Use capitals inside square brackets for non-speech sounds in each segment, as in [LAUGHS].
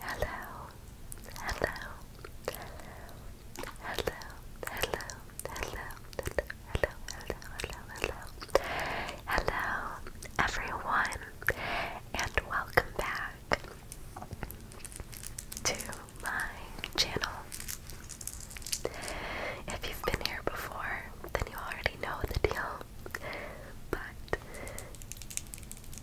Hello, hello, hello, hello, hello, hello, hello, hello, hello, hello, hello, everyone, and welcome back to my channel. If you've been here before, then you already know the deal, but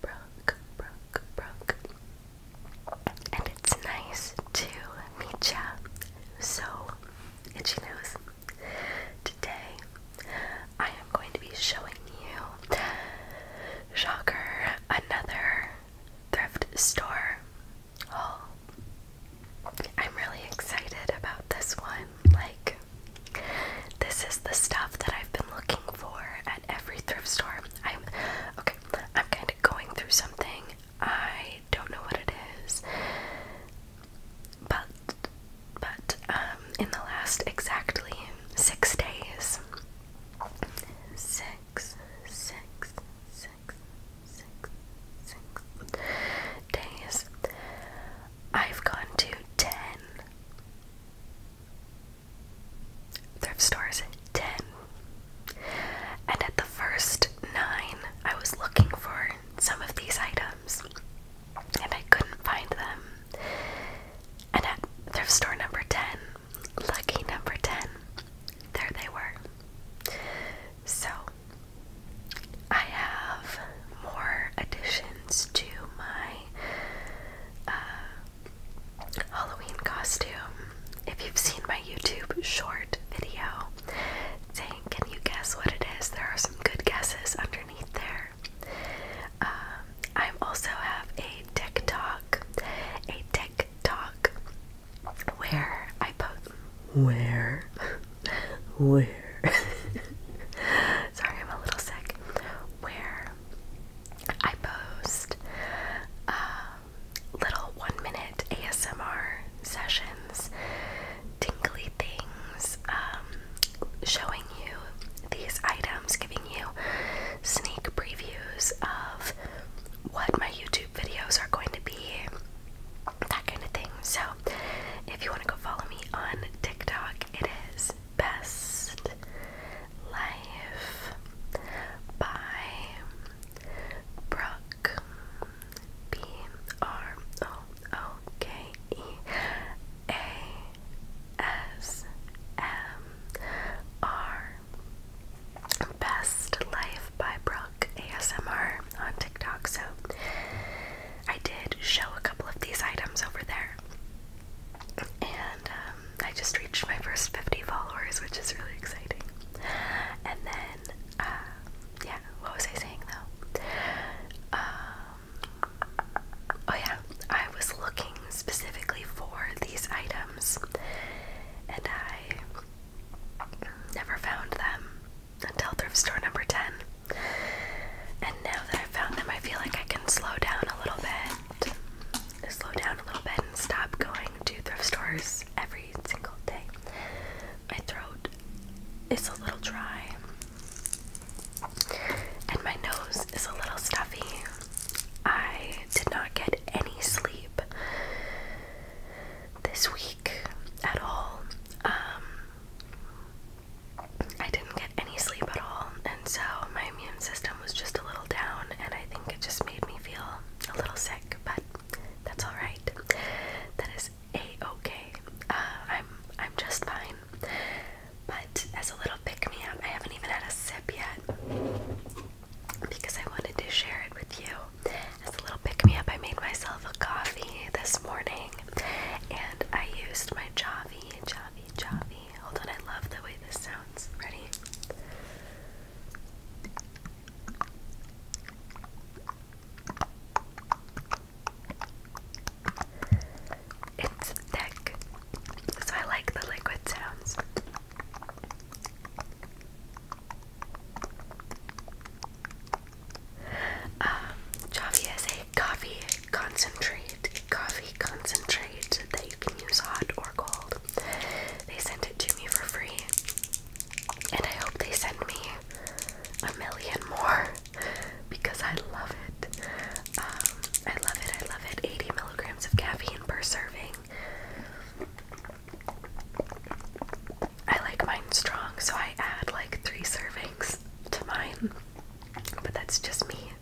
Brooke, Brooke, Brooke. And it's nice to meet ya. So, itchy nose. Today, I am going to be showing you, shocker, another thrift store haul. I'm really excited about this one. Like, this is the stuff that I've been looking for at every thrift store. I'm okay, I'm kind of going through something. I don't know what it is. But but um in the last exactly 6 days 6 6 days I've gone to 10 thrift stores 10. And at the first 9, I was looking for some of these items and I couldn't find them. And at thrift store number 10, lucky number 10, there they were. So, I have more additions to my uh, Halloween costume. If you've seen my YouTube short video saying, Can you guess what it is? There are some good guesses underneath there. Um, I also have a TikTok, a TikTok where I post. Where? Where? [LAUGHS] Sorry, I'm a little sick. Where I post um, little one minute ASMR sessions, tingly things, um, showing you these items, giving you sneak previews of what my YouTube videos are going to be, that kind of thing. So, if you want to go follow me on TikTok, it is best Life by Brooke B R O O K E A S M R Best Life by Brooke ASMR on TikTok. So I did show a couple of these items over there. And um, I just reached my first 50 followers, which is really exciting. And then, uh, yeah, what was I saying though? Um, oh, yeah, I was looking specifically for these items and I never found them until thrift store number 10. And now that i found them, I feel like I can slow down a little bit slow down a little bit and stop going to thrift stores every single day. My throat is a little dry, and my nose is a little stuffy. I did not get any sleep this week at all. Um, I didn't get any sleep at all, and so my immune system was just a little down, and I think it just made me feel a little sick, but that's all right. That is a okay. Uh, I'm I'm just fine. But as a little pick me up, I haven't even had a sip yet because I wanted to share it with you. As a little pick me up, I made myself a coffee this morning, and I used my Javi, Javi, Javi. Hold on, I love the way this sounds. Ready? It's thick, so I like the liquid sounds. Um, Javi is a coffee concentrate, coffee concentrate that you can use hot or cold. They sent it to me for free, and I hope they send me a million more [LAUGHS] because I love it. Um, I love it, I love it. 80 milligrams of caffeine per serving. I like mine strong, so I add like three servings to mine. But that's just me.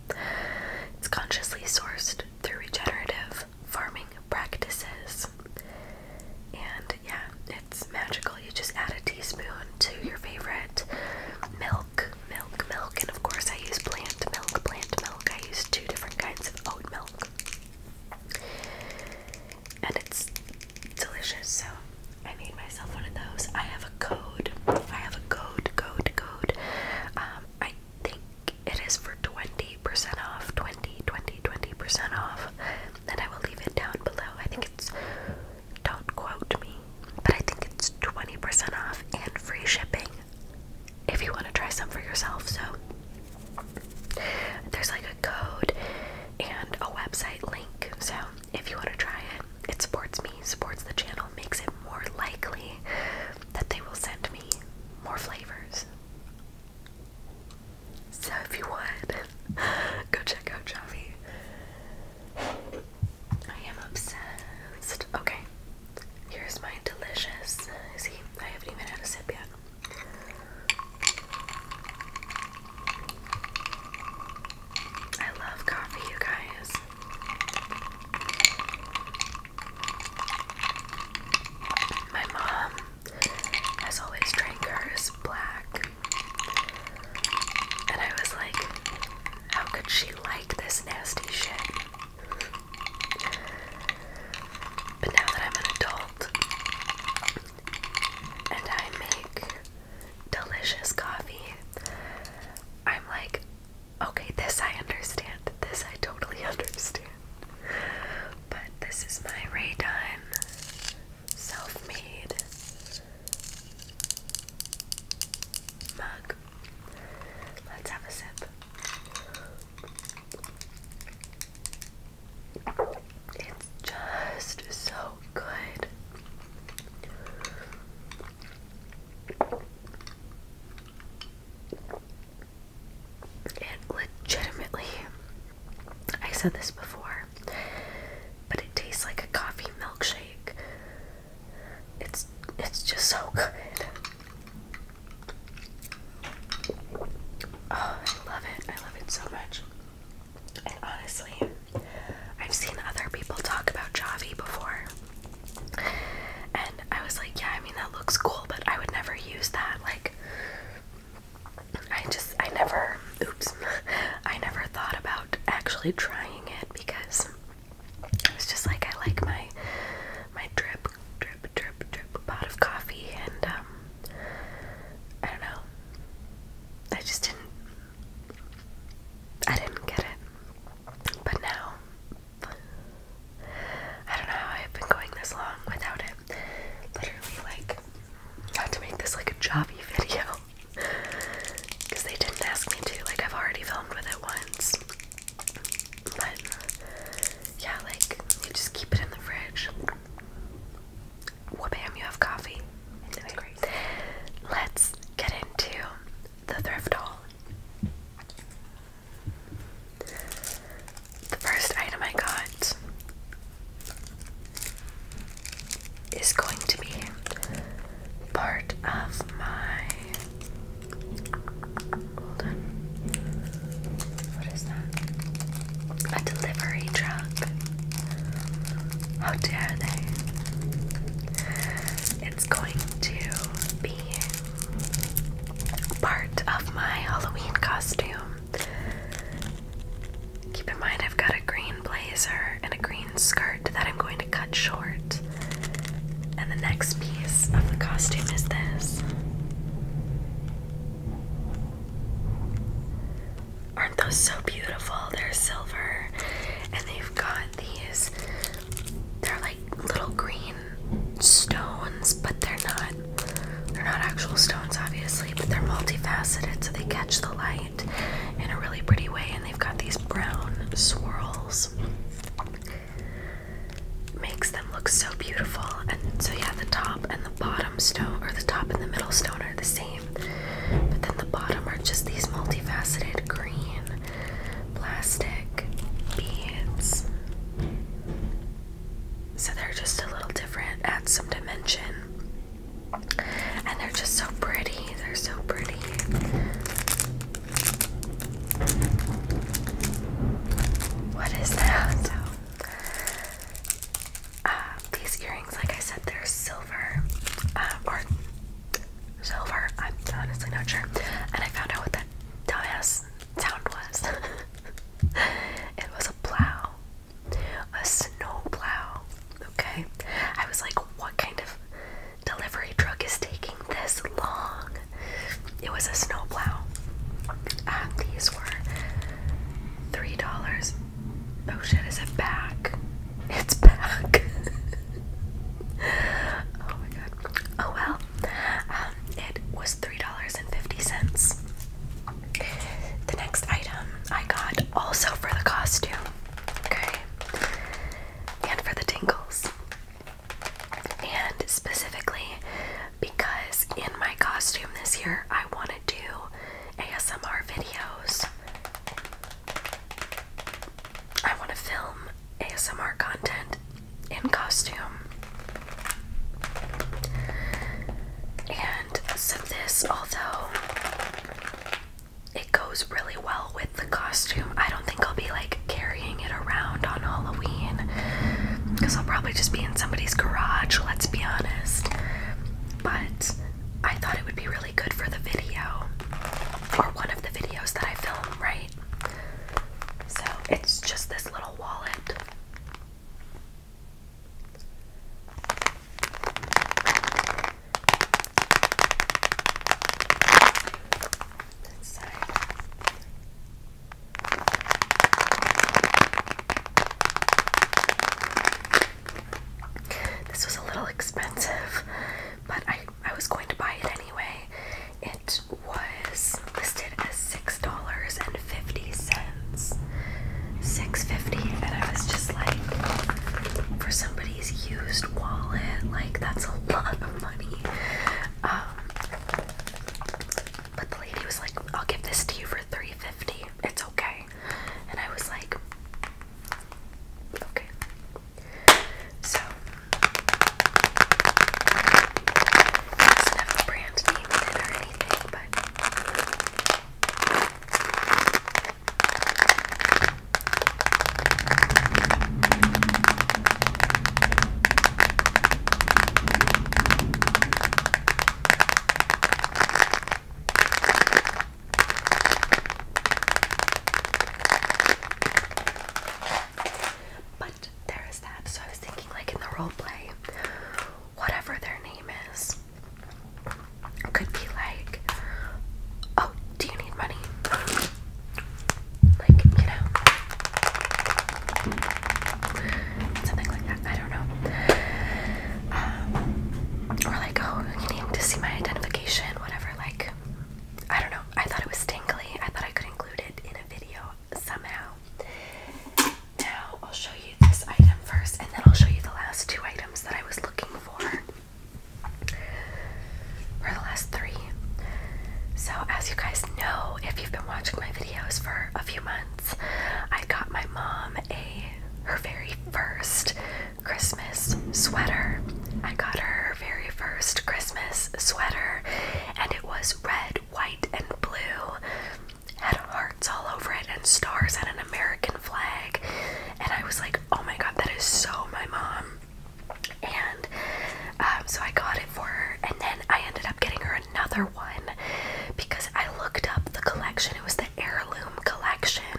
It's consciously sourced through regenerative farming practices. And yeah, it's magical. You just add a teaspoon to your favorite milk, milk, milk. And of course, I use plant milk, plant milk. I use two different kinds of oat milk. And it's delicious, so I made myself one of those. I have have a code. I have a code, code, code. Um, I think it is for 20% off. 20, 20, 20% off. And I will leave it down below. I think it's, don't quote me, but I think it's 20% off and free shipping if you want to try some for yourself. So there's like a code and a website link. So if you want to try it, it supports me, supports the channel makes it more likely that they will send me more flavors. So if you would, [LAUGHS] go check out Javi. I am obsessed. Okay, here's my delicious. I haven't even had a sip yet. I love coffee, you guys. My mom has always drank hers black. And I was like, how could she like this nasty shit? But now that I'm an adult and I make delicious coffee, I'm like, Okay, this I understand. This I totally [LAUGHS] understand. But this is my Raydon self made mug. Let's have a sip. It's just so good legitimately, I said this before, but it tastes like a coffee milkshake. It's it's just so good. Oh, I love it. I love it so much. And honestly, I've seen other people talk about Javi before. And I was like, yeah, I mean, that looks cool, but I would never use that. Like, I just, I never, oops, [LAUGHS] I never thought about actually trying it because it was just like I like my, my drip, drip, drip, drip pot of coffee, and um, I don't know. I just didn't, I didn't get it. But now, I don't know how I've been going this long without it. Literally, like, not to make this like a jobby [LAUGHS] video. Because they didn't ask me to. Like, I've already filmed with it once. But, yeah, like, you just keep it in the fridge. Whoop, bam, you have coffee. Let's get into the thrift haul. The first item I got is going to be part of my. Hold on. What is that? A delivery truck. How dare they? It's going to be part of my Halloween costume. Keep in mind, I've got a green blazer and a green skirt that I'm going to cut short. And the next piece of the costume is this. Aren't those so beautiful? They're silver and they've got these. They're like little green stones, but they're not they're not actual stones obviously, but they're multifaceted so they catch the light in a really pretty way and they've got these brown swirls. Makes them look so beautiful. And so yeah, the top and the bottom stone or the top and the middle stone are the same. But then the bottom are just these multifaceted green plastic beads. So they're just a little different, at some dimension. And they're just so pretty. They're so pretty. What is that? Uh, these earrings, like I said, they're silver. Um, or silver. I'm honestly not sure. And I found out what that dumbass sound was. [LAUGHS] it was a plow, a snow plow. Okay, I was like, what kind of delivery truck is taking this long? It was a snow plow. Uh, these were three dollars. Oh shit! Is it back? It's back. [LAUGHS] oh my god. Oh well. Um, it was $3.50. The next item I got also for the costume. Okay. And for the tingles. And specifically because in my costume this year I want to do ASMR videos. I want to film ASMR content in costume. And so, this, although it goes really well with the costume, I don't think I'll be like carrying it around on Halloween because I'll probably just be in somebody's garage, let's be honest. But I thought it would be really good for the video or one of the videos that I film, right? So it's just this little wallet. This was a little expensive but I, I was going to buy it anyway. It was listed as six dollars and fifty cents. Six fifty, and I was just like, for somebody's used wallet, like that's a [LAUGHS] lot of money. Um, but the lady was like, "I'll give this to you for three fifty. It's okay." And I was like, "Okay." So, it brand name or anything, but. But there is that. So I was thinking, like in the role play, whatever their name is, could be like, oh, do you need money? Like, you know, something like that. I don't know. Um, or like, oh, you need to see my identification, whatever. I don't know. I thought it was tingly. I thought I could include it in a video somehow. Now I'll show you this item first, and then I'll show you the last two items that I was looking for. Or the last three. So, as you guys know, if you've been watching my videos for a few months, I got my mom a her very first Christmas sweater. I got her very first Christmas sweater, and it was red, white, and blue. Had hearts all over it and stars and an American flag. And I was like, oh my god, that is so my mom. And um, so I got it for her, and then I ended up getting her another one because I looked up the collection. It was the heirloom collection,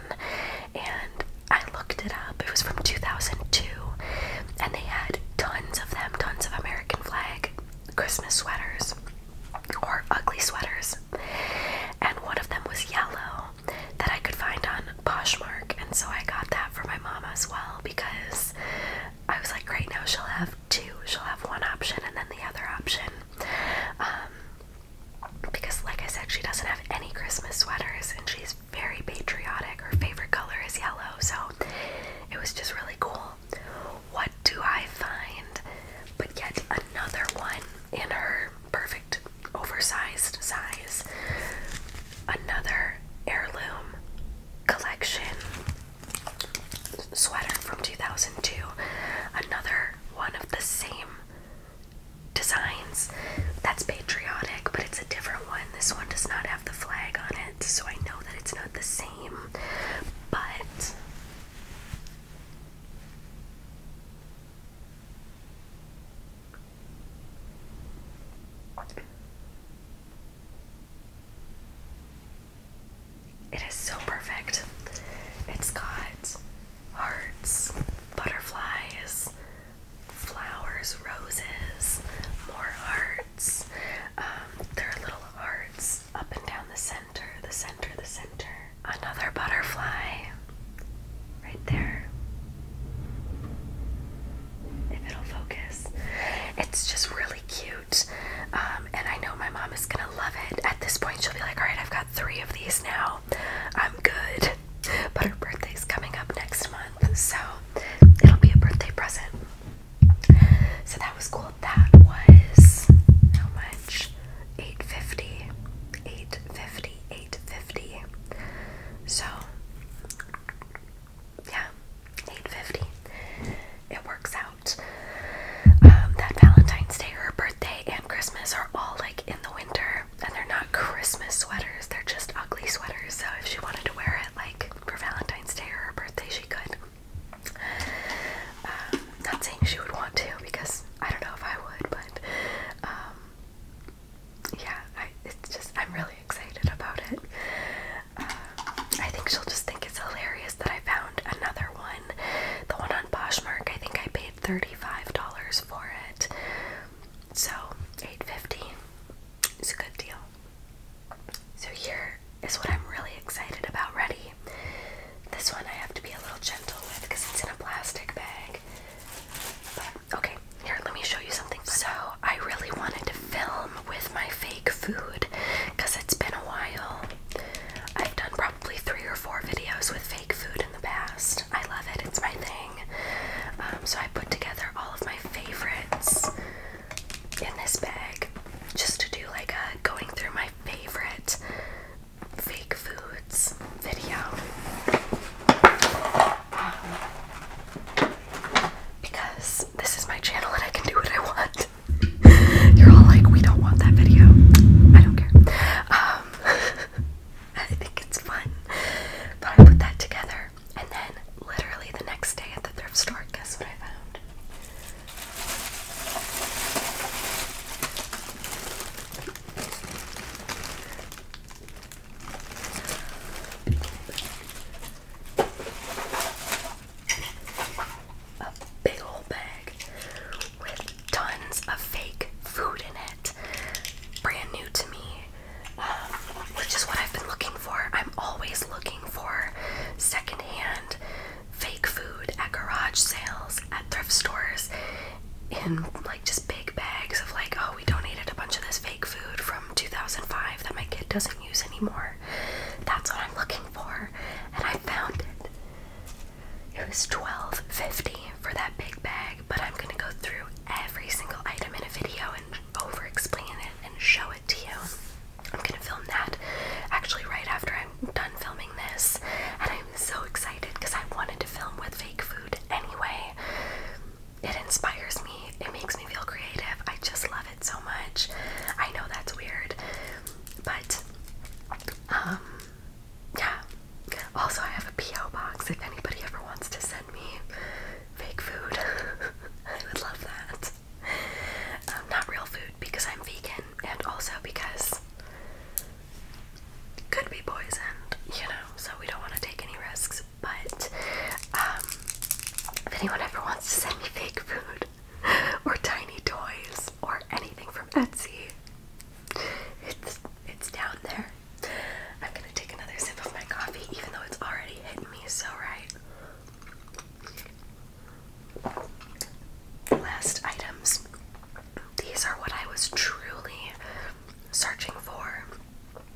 and I looked it up. It was from 2002, and they had tons of them, tons of American flag Christmas sweaters or ugly sweaters. And one of them was yellow that I could find on Poshmark, and so I got that for my mom as well because I was like, right now she'll have two. She'll have one option and then the other option. Um, because, like I said, she doesn't have any Christmas sweaters and she's very patriotic. Her favorite color is yellow, so it was just really cool. What do I find but yet another one in her perfect oversized size? Another heirloom collection sweater from 2002. Another one of the same designs that's patriotic, but it's a different one. This one does not have the flag on it, so I know that it's not the same, but it is so perfect. It's hearts, butterflies, flowers, roses, more hearts. Um, there are little hearts up and down the center, the center, the center. Another butterfly right there. If it'll focus, it's just really cute. Um, and I know my mom is gonna love it. At this point, she'll be like, All right, I've got three of these now. I'm good. But her birthday's coming up next month, so it'll be a birthday present. So that was cool. That was how much? 850. 850. 850. So yeah, 850. It works out. Um, that Valentine's Day, or her birthday and Christmas are all like in the winter, and they're not Christmas sweaters, they're just ugly sweaters. So if she wanted to wear it like for Valentine's Day or her birthday, she could. Um, not saying she would want to because I don't know if I would, but um, yeah, I, it's just I'm really excited about it. Um, I think she'll just think it's hilarious that I found another one. The one on Poshmark, I think I paid $30 $35 for it. So, eight fifty. dollars is a good deal. So here is what I'm really excited about ready. This one I have to be a little gentle with because it's in a plastic bag. But okay, here let me show you something. So I really wanted to film with my fake food because it's been a while. I've done probably three or four videos with fake food in the past. I love it, it's my thing. Um, so I put together all of my favorites in this bag just to do like a going through my favorite fake foods video. Um, because this is my channel and I can do what I want. [LAUGHS] You're all like, we don't want that video. I don't care. Um, [LAUGHS] [LAUGHS] I think it's fun. But I put that together, and then literally the next day at the thrift store, guess what I found? A big old bag tons of fake food in it. Brand new to me, um, which is what I've been looking for. I'm always looking for secondhand fake food at garage sales, at thrift stores, in like just big bags of like, oh, we donated a bunch of this fake food from 2005 that my kid doesn't use anymore. That's what I'm looking for, and I found it. It was twelve fifty for that big bag, but I'm gonna go through every single item in a video and over explain it and show it to you. I'm gonna film that actually right after I'm done filming this, and I'm so excited because I wanted to film with fake food anyway. It inspires me, it makes me feel creative. I just love it so much. I know that's weird, but um, yeah. Also, I have a P.O. box if anybody ever wants to send me fake food. [LAUGHS] I would love that. Um, not real food because I'm vegan and also because could be poisoned, you know, so we don't want to take any risks. But um, if anyone ever wants to send me fake food [LAUGHS] or tiny toys or anything from Etsy, it's it's down there. I'm gonna take another sip of my coffee, even though it's already hitting me so right. Last items. These are what I was truly searching for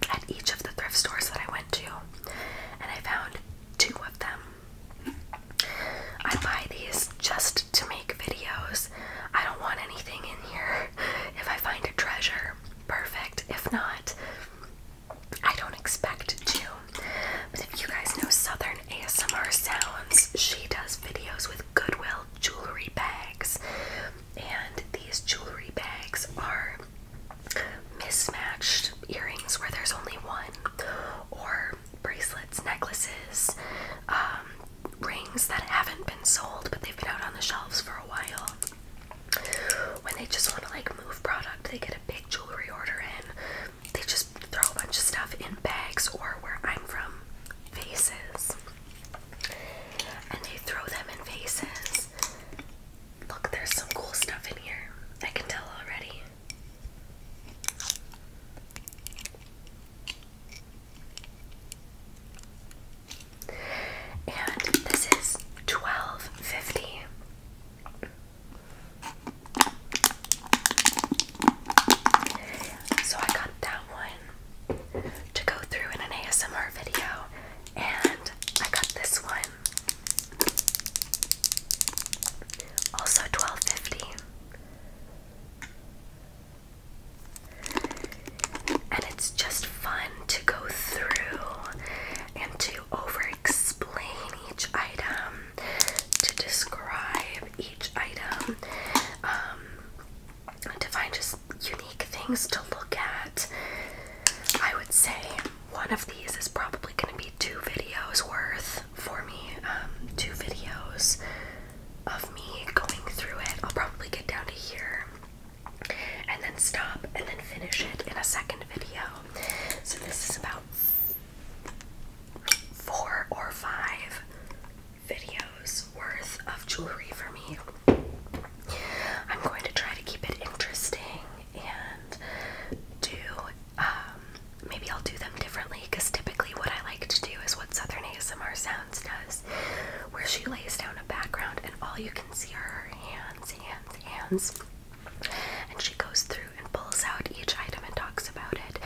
at each of the thrift stores that I went to, and I found two of them. I buy these just to make videos. I don't want anything in here. [LAUGHS] If I find a treasure, perfect. If not, I don't expect to. But if you guys know Southern ASMR Sounds, she does videos with Goodwill jewelry bags. And these jewelry bags are mismatched earrings where there's only one, or bracelets, necklaces, um, rings that haven't been sold but they've been out on the shelves for a while. When they just want to like move product, they get a big jewelry order in. They just throw a bunch of stuff in bags or where I'm from, vases. And they throw them in vases. Look, there's some cool stuff in here. I can tell already. And this is twelve fifty. So I got that one to go through in an ASMR video, and I got this one. Also 1250. And it's just fun to go through and to over explain each item, to describe each item, um, to find just unique things to look at. I would say one of these is probably going to be two videos worth for me, um, two videos of me going through it. I'll probably get down to here and then stop and then finish it in a second video. So this is about four or five videos worth of jewelry for me. I'm going to try to keep it interesting and do um, maybe I'll do them differently because typically what I like to do is what Southern ASMR sounds does, where she lays down a background and all you can see are her hands, hands, hands. And she goes through and pulls out each item and talks about it.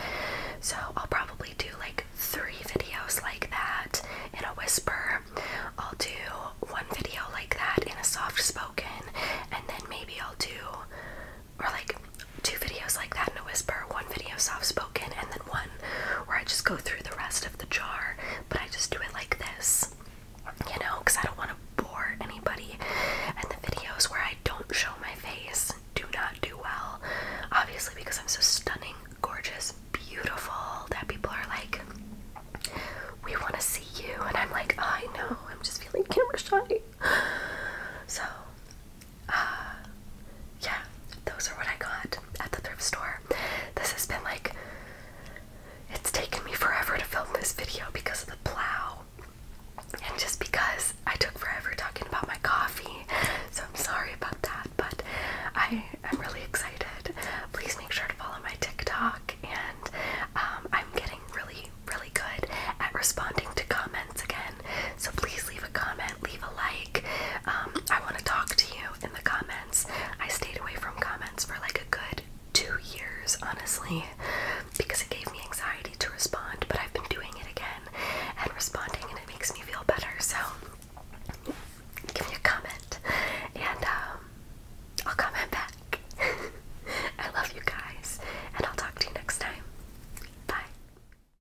So I'll probably do like three videos like that in a whisper. I'll do one video like that in a soft spoken, and then maybe I'll do, or like two videos like that in a whisper one video soft spoken and then one where I just go through the rest of the jar, but I just do it like this, you know, because I don't want to bore anybody. And the videos where I don't show my face do not do well, obviously, because I'm so stunning, gorgeous, beautiful that people are like, we want to see you, and I'm like, I know, I'm just feeling camera shy. So uh, yeah, those are what I got at the thrift store. This has been like, it's taken me forever to film this video because of the plow. And just because I took forever talking about my coffee, so I'm sorry about that, but I am really excited. Please make sure to follow my TikTok, and um, I'm getting really, really good at responding to comments again. So please leave a comment, leave a like. Um, I want to talk to you in the comments. I stayed away from comments for like a good two years, honestly, because it gave me anxiety to respond, but I've been doing it again and responding, and it makes me feel better. So give me a comment, and um, I'll comment back. [LAUGHS] I love you guys, and I'll talk to you next time. Bye.